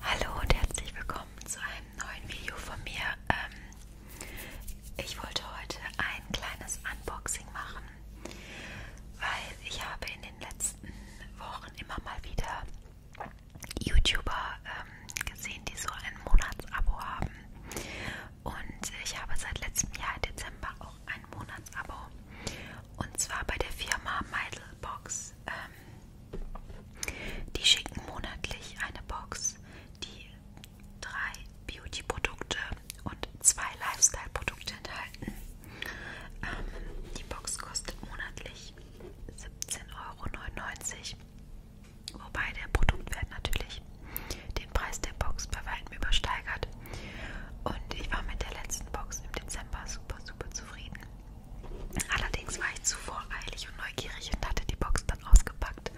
Hallo und herzlich willkommen zu einem neuen Video von mir. Ähm, ich wollte heute ein kleines Unboxing machen, weil ich habe in den letzten Wochen immer mal wieder YouTuber ähm, gesehen, die so ein Monatsabo haben. Und ich habe seit letztem Jahr im Dezember auch ein Monatsabo. Und zwar bei der Firma Meidelbox. Ähm, die schicken monatlich eine Box, die drei Beauty-Produkte und zwei Lifestyle-Produkte enthalten. Ähm, die Box kostet monatlich 17,99 Euro, wobei der Produktwert natürlich den Preis der Box bei weitem übersteigert. Und ich war mit der letzten Box im Dezember super, super zufrieden. Allerdings war ich zu voreilig und neugierig und hatte die Box dann ausgepackt,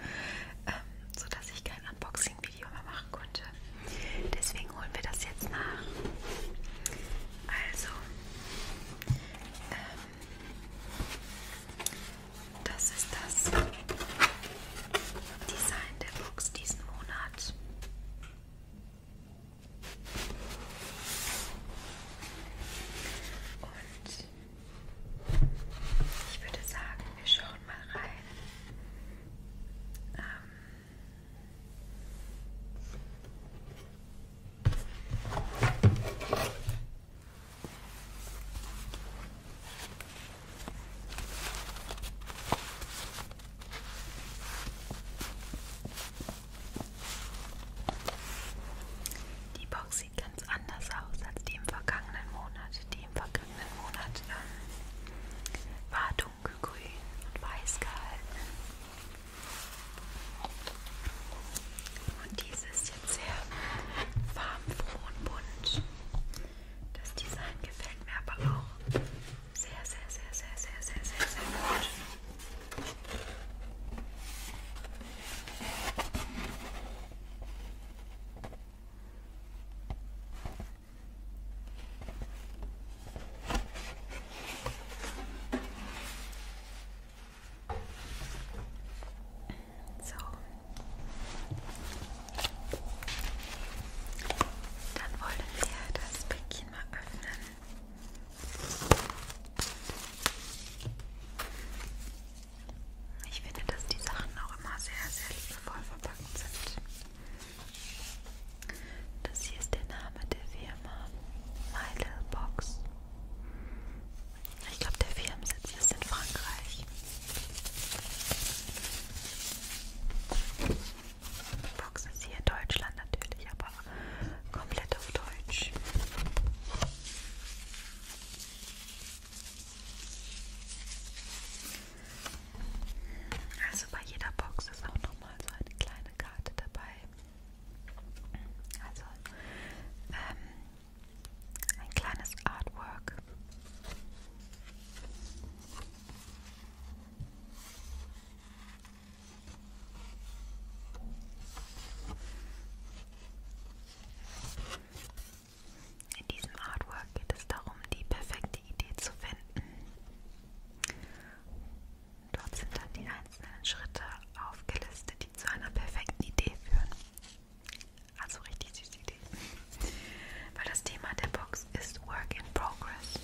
ähm, sodass ich kein Unboxing-Video mehr machen konnte. Deswegen holen wir das jetzt nach. Also, ähm, das ist das Design der Box diesen Monat. Und ich würde sagen, wir schauen mal rein. Ähm die Box sieht ganz anders aus als die im vergangenen Monat. Die im vergangenen Monat ähm, war dunkelgrün und weiß gehalten. Und diese ist jetzt sehr farbenfroh und bunt. Das Design gefällt mir aber auch. Sehr, sehr, sehr, sehr, sehr, sehr, sehr, sehr, sehr gut. So. Dann wollen wir das Päckchen mal öffnen. Ich finde, dass die Sachen auch immer sehr, sehr liebevoll verpackt sind. Das hier ist der Name der Firma My Little Box. Ich glaube, der Firmensitz ist in Frankreich. Box ist hier in Deutschland natürlich, aber komplett auf Deutsch. Also bei jeder Box ist auch nochmal so eine kleine Karte dabei. Also ähm, ein kleines Artwork. In diesem Artwork geht es darum, die perfekte Idee zu finden. Dort sind dann die einzelnen Schritte aufgelistet, die zu einer perfekten Idee führen. Also richtig süße Idee. Weil das Thema der Box ist Work in Progress.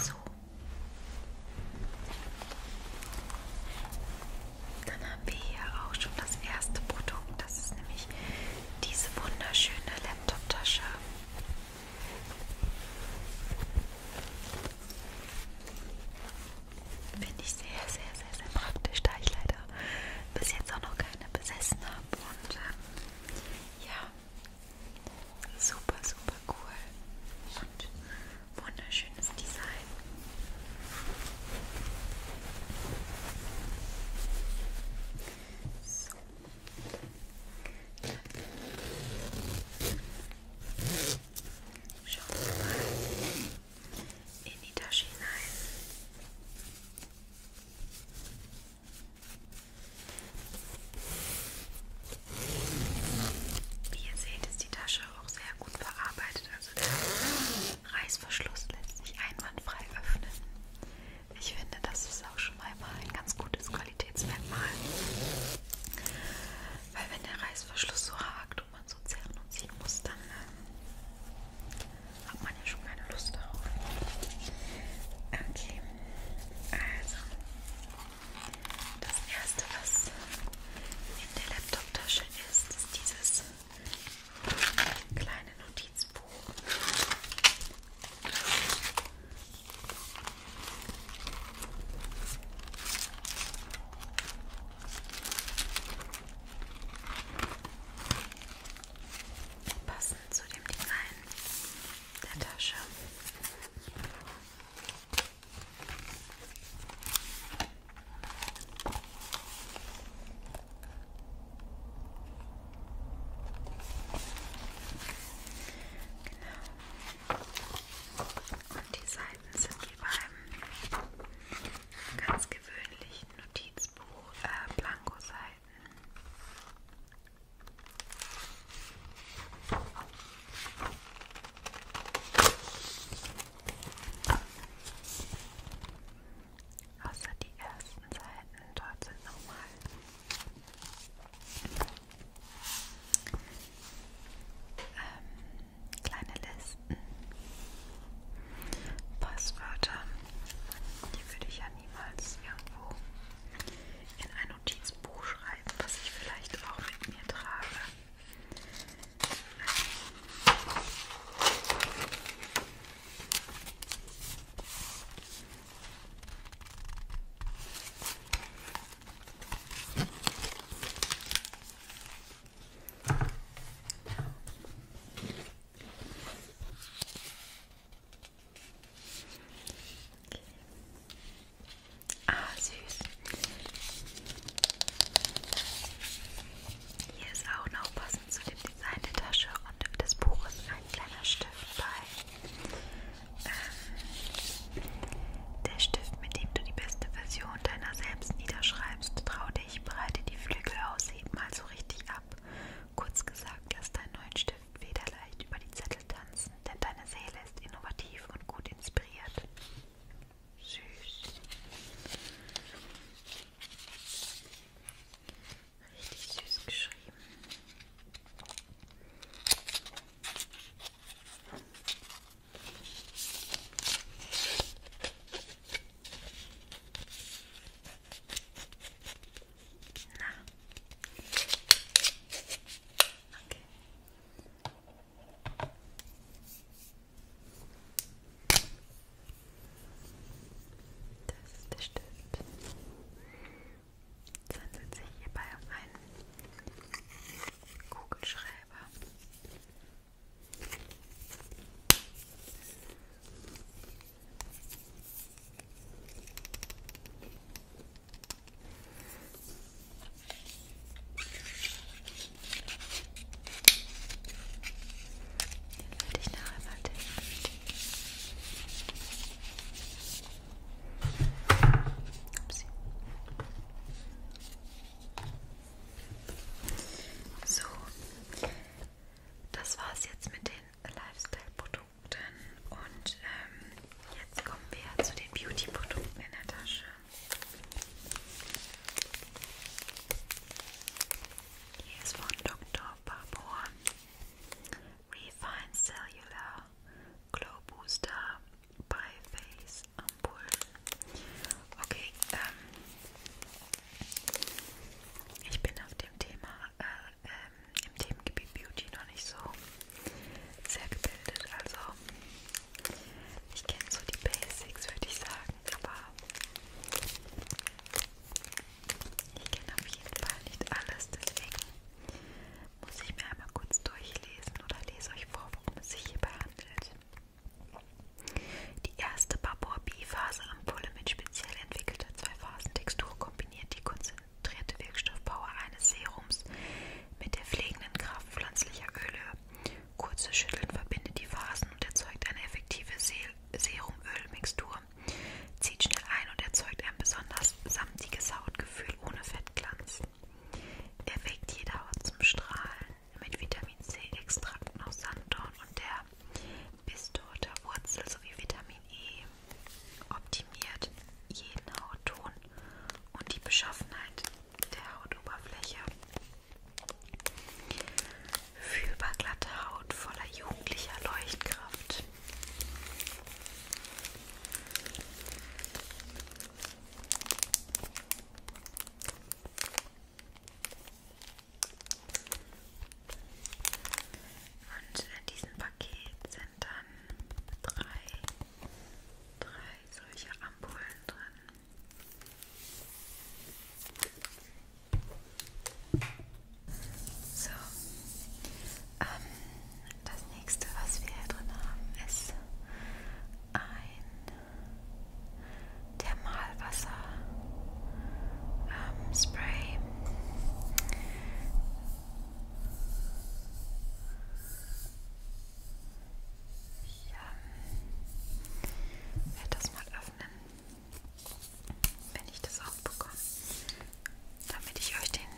So. Dann haben wir hier auch schon das erste Produkt. Das ist nämlich diese wunderschöne Laptop-Tasche. Finde ich sehr, sehr, sehr, sehr praktisch, da ich leider bis jetzt auch noch keine besessen habe. Und ähm, ja, Super, super cool und wunderschönes Design. So. Schauen wir mal in die Tasche hinein. Wie ihr seht, ist die Tasche auch sehr gut verarbeitet. Also der Reißverschluss lässt sich einwandfrei öffnen. Ich finde, das ist auch schon mal ein ganz gutes Qualitätsmerkmal. Weil wenn der Reißverschluss so hakt und man so zerren und ziehen muss, dann ähm, hat man ja schon keine Lust darauf. Okay, also das erste, was in der Laptop-Tasche ist, ist dieses kleine Notizbuch passend zu dem Design der Tasche. Genau. Und die Seiten sind wie beim ganz gewöhnlichen Notizbuch äh, Blanko-Seiten. Außer die ersten Seiten dort sind nochmal ähm, kleine Listen, Passwörter die würde ich ja niemals irgendwo in ein Notizbuch schreiben, was ich vielleicht auch mit mir trage. Ah, süß. Hier ist auch noch passend zu dem Design der Tasche und des Buches ein kleiner Stift bei. Ähm, der Stift, mit dem du die beste Version deiner selbst niederschreibst. Trau dich, breite die Flügel aus, heb mal so richtig ab ab. Kurz gesagt, lass deinen neuen Stift federleicht über die Zettel tanzen, denn deine Seele ist innovativ und gut inspiriert. Süß. Richtig süß geschrieben. Na. Okay. Das ist der Stift. Es handelt sich hierbei um einen Kugelschreiber. Den werde ich nachher mal testen. Upsi. So, das war's jetzt mit den Lifestyle-Produkten und ähm, jetzt kommen wir zu den Beauty-Produkten in der Tasche. Hier ist von Dr. Barbour Refine Cellular Glow Booster by Face Ampullen. Okay, ähm, ich bin auf dem Thema, äh, ähm, im Themengebiet Beauty noch nicht so sehr gebildet. Also ich kenne so die Basics, würde ich sagen, aber ich kenne auf jeden Fall nicht alles, deswegen muss ich mir einmal kurz durchlesen oder lese euch vor, worum es sich hierbei handelt. Die erste Babor-B-Phase Ampulle mit speziell entwickelter Zwei-Phasen-Textur kombiniert die konzentrierte Wirkstoffpower eines Serums mit der pflegenden Kraft pflanzlicher Öle. Kurzes Schütteln verbindet die Phasen und erzeugt eine effektive Serum-Öl-Mixtur. Zieht schnell ein und erzeugt ein besonders samtiges Hautgefühl ohne Fettglanz. Erweckt jede Haut zum Strahlen mit Vitamin C-Extrakten aus Sanddorn und der ist toter Wurzel sowie Vitamin E optimiert jeden Hautton und die Beschaffenheit der Hautoberfläche. Fühlbar glatte Haut voller jugendlicher Leuchtkraft. Und in diesem Paket sind dann drei, drei solche Ampullen drin. So, ähm, das nächste, was wir hier drin haben, ist ein Thermalwasser ähm, Spray. Ich ähm, werde das mal öffnen, wenn ich das auch bekomme, damit ich euch den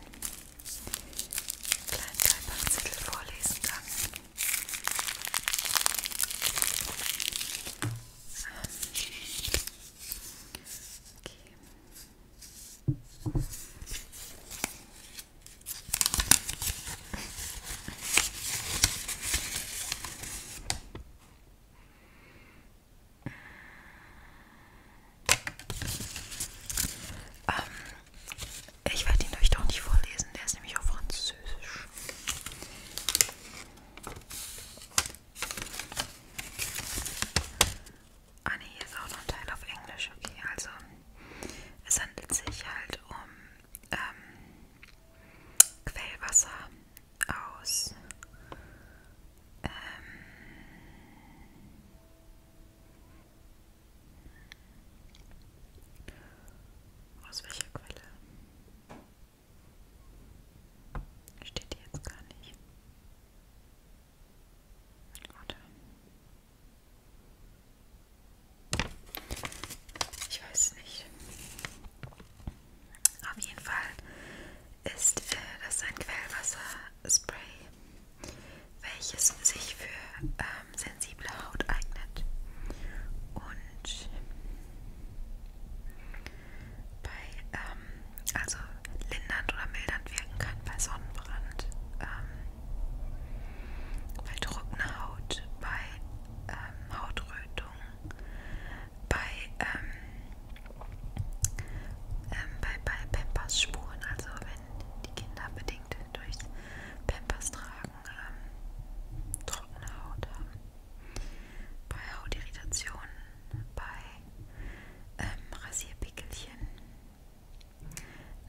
kleinen Beipackzettel vorlesen kann. Okay. Ähm, ich werde ihn euch doch nicht vorlesen, der ist nämlich auf Französisch. Ah ne, hier ist auch noch ein Teil auf Englisch, okay. Also es handelt sich halt um ähm, Quellwasser aus ähm, aus welcher Quelle? Steht die jetzt gar nicht. Oder? Ich weiß nicht. Auf jeden Fall ist äh, das ein Quellwasserspray, welches sich für ähm, sensible Haut eignet. Und falsch. Bei, ähm, also lindernd oder mildernd wirken kann bei Sonnenbrand, ähm, bei trockener Haut, bei ähm, Hautrötung, bei, ähm, ähm, bei, bei Pampers-Spuren, also wenn die Kinder bedingt durch Pampers tragen, ähm, trockene Haut haben bei Hautirritationen, bei ähm, Rasierpickelchen,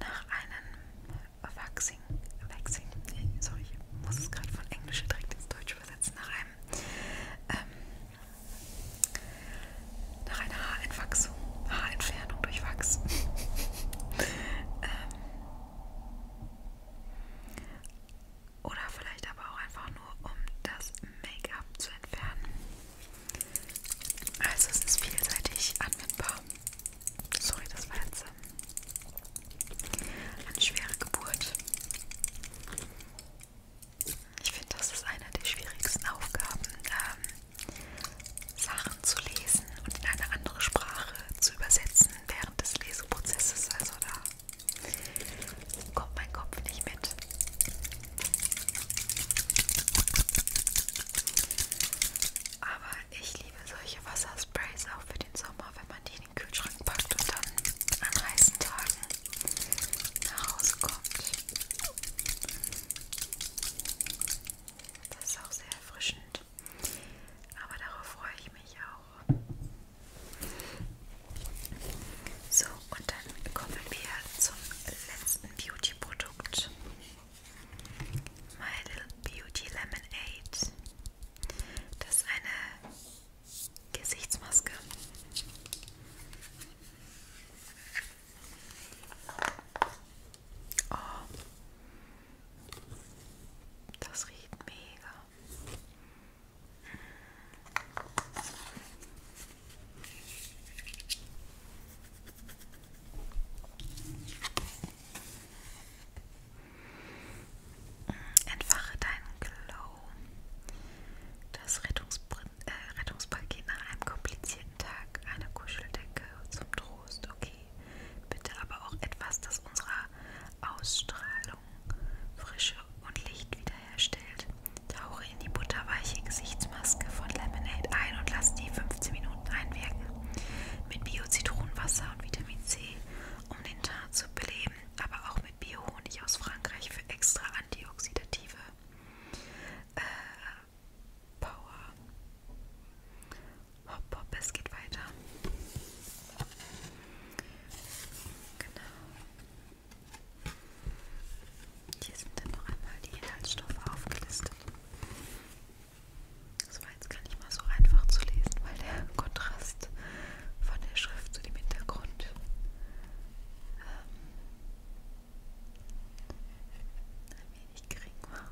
nach einem Waxing, Waxing, sorry, ich muss es gerade von Englisch direkt ins Deutsche übersetzen, nach einem, ähm, nach einer Haarentwachsung, Haarentfernung durch Wachs. ähm, oder vielleicht aber auch einfach nur, um das Make-up zu entfernen. Also es ist vielseitig anwendbar. Sorry, das war jetzt ähm, eine schwere Geburt. Ich finde, das ist eine der schwierigsten Aufgaben, ähm, Sachen zu lesen und in eine andere Sprache zu übersetzen während des Leseprozesses. Also da Kommt mein Kopf nicht mit. Aber ich liebe solche Wassersprays auch für den Sommer, wenn man die in den Kühlschrank packt und dann an heißen Tagen nach Hause kommt. Das ist auch sehr erfrischend. Aber darauf freue ich mich auch. So, und dann kommen wir zum letzten Beauty-Produkt. My Little Beauty Lemonade. Das ist eine Gesichtsmaske. Oh. Das riecht mega. Entfache deinen Glow. Das Rettungsprin äh, Rettungspaket nach einem komplizierten Tag, eine Kuscheldecke zum Trost, okay. Bitte aber auch etwas, das unserer Ausstrahlung Frische und Licht wiederherstellt. Tauche in die butterweiche Gesichtsmaske von Lemonade ein und lass die 15 Minuten einwirken. Mit Bio-Zitronenwasser und Vitamin C, um den Teint zu beleben, aber auch mit Bio-Honig aus Frankreich für extra antioxidative äh, Power. Hop, hop, es geht weiter. Genau. Hier sind dann noch einmal die Inhaltsstoffe aufgelistet. Das war jetzt gar nicht mal so einfach zu lesen, weil der Kontrast von der Schrift zu dem Hintergrund ähm, ein wenig gering war.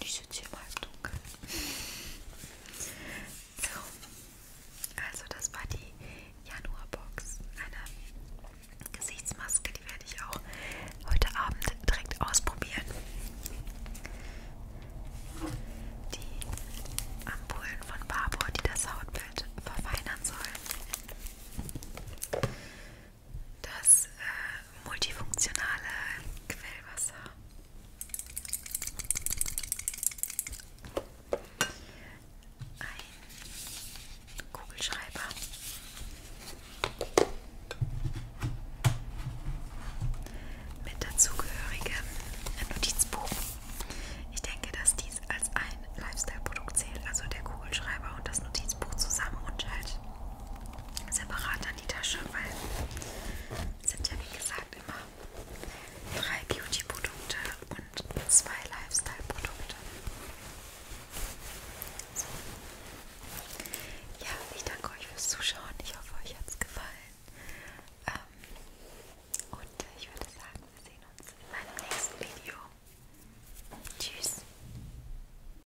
Ich sitze hier mal im Dunkeln. So, also das war die Januarbox. Eine Gesichtsmaske, die werde ich auch heute Abend direkt ausprobieren. Die Ampullen von Barbour, die das Hautbild verfeinern sollen das äh, multifunktionale Quellwasser. Ein Kugelschreiber. Mit dazugehörigem Notizbuch. Ich denke, dass dies als ein Lifestyle-Produkt zählt, also der Kugelschreiber und das Notizbuch zusammen und halt separate an die Tasche, weil es sind ja wie gesagt immer drei Beauty-Produkte und zwei Lifestyle-Produkte. So. Ja, ich danke euch fürs Zuschauen. Ich hoffe, euch hat es gefallen. Ähm, und ich würde sagen, wir sehen uns in meinem nächsten Video. Tschüss.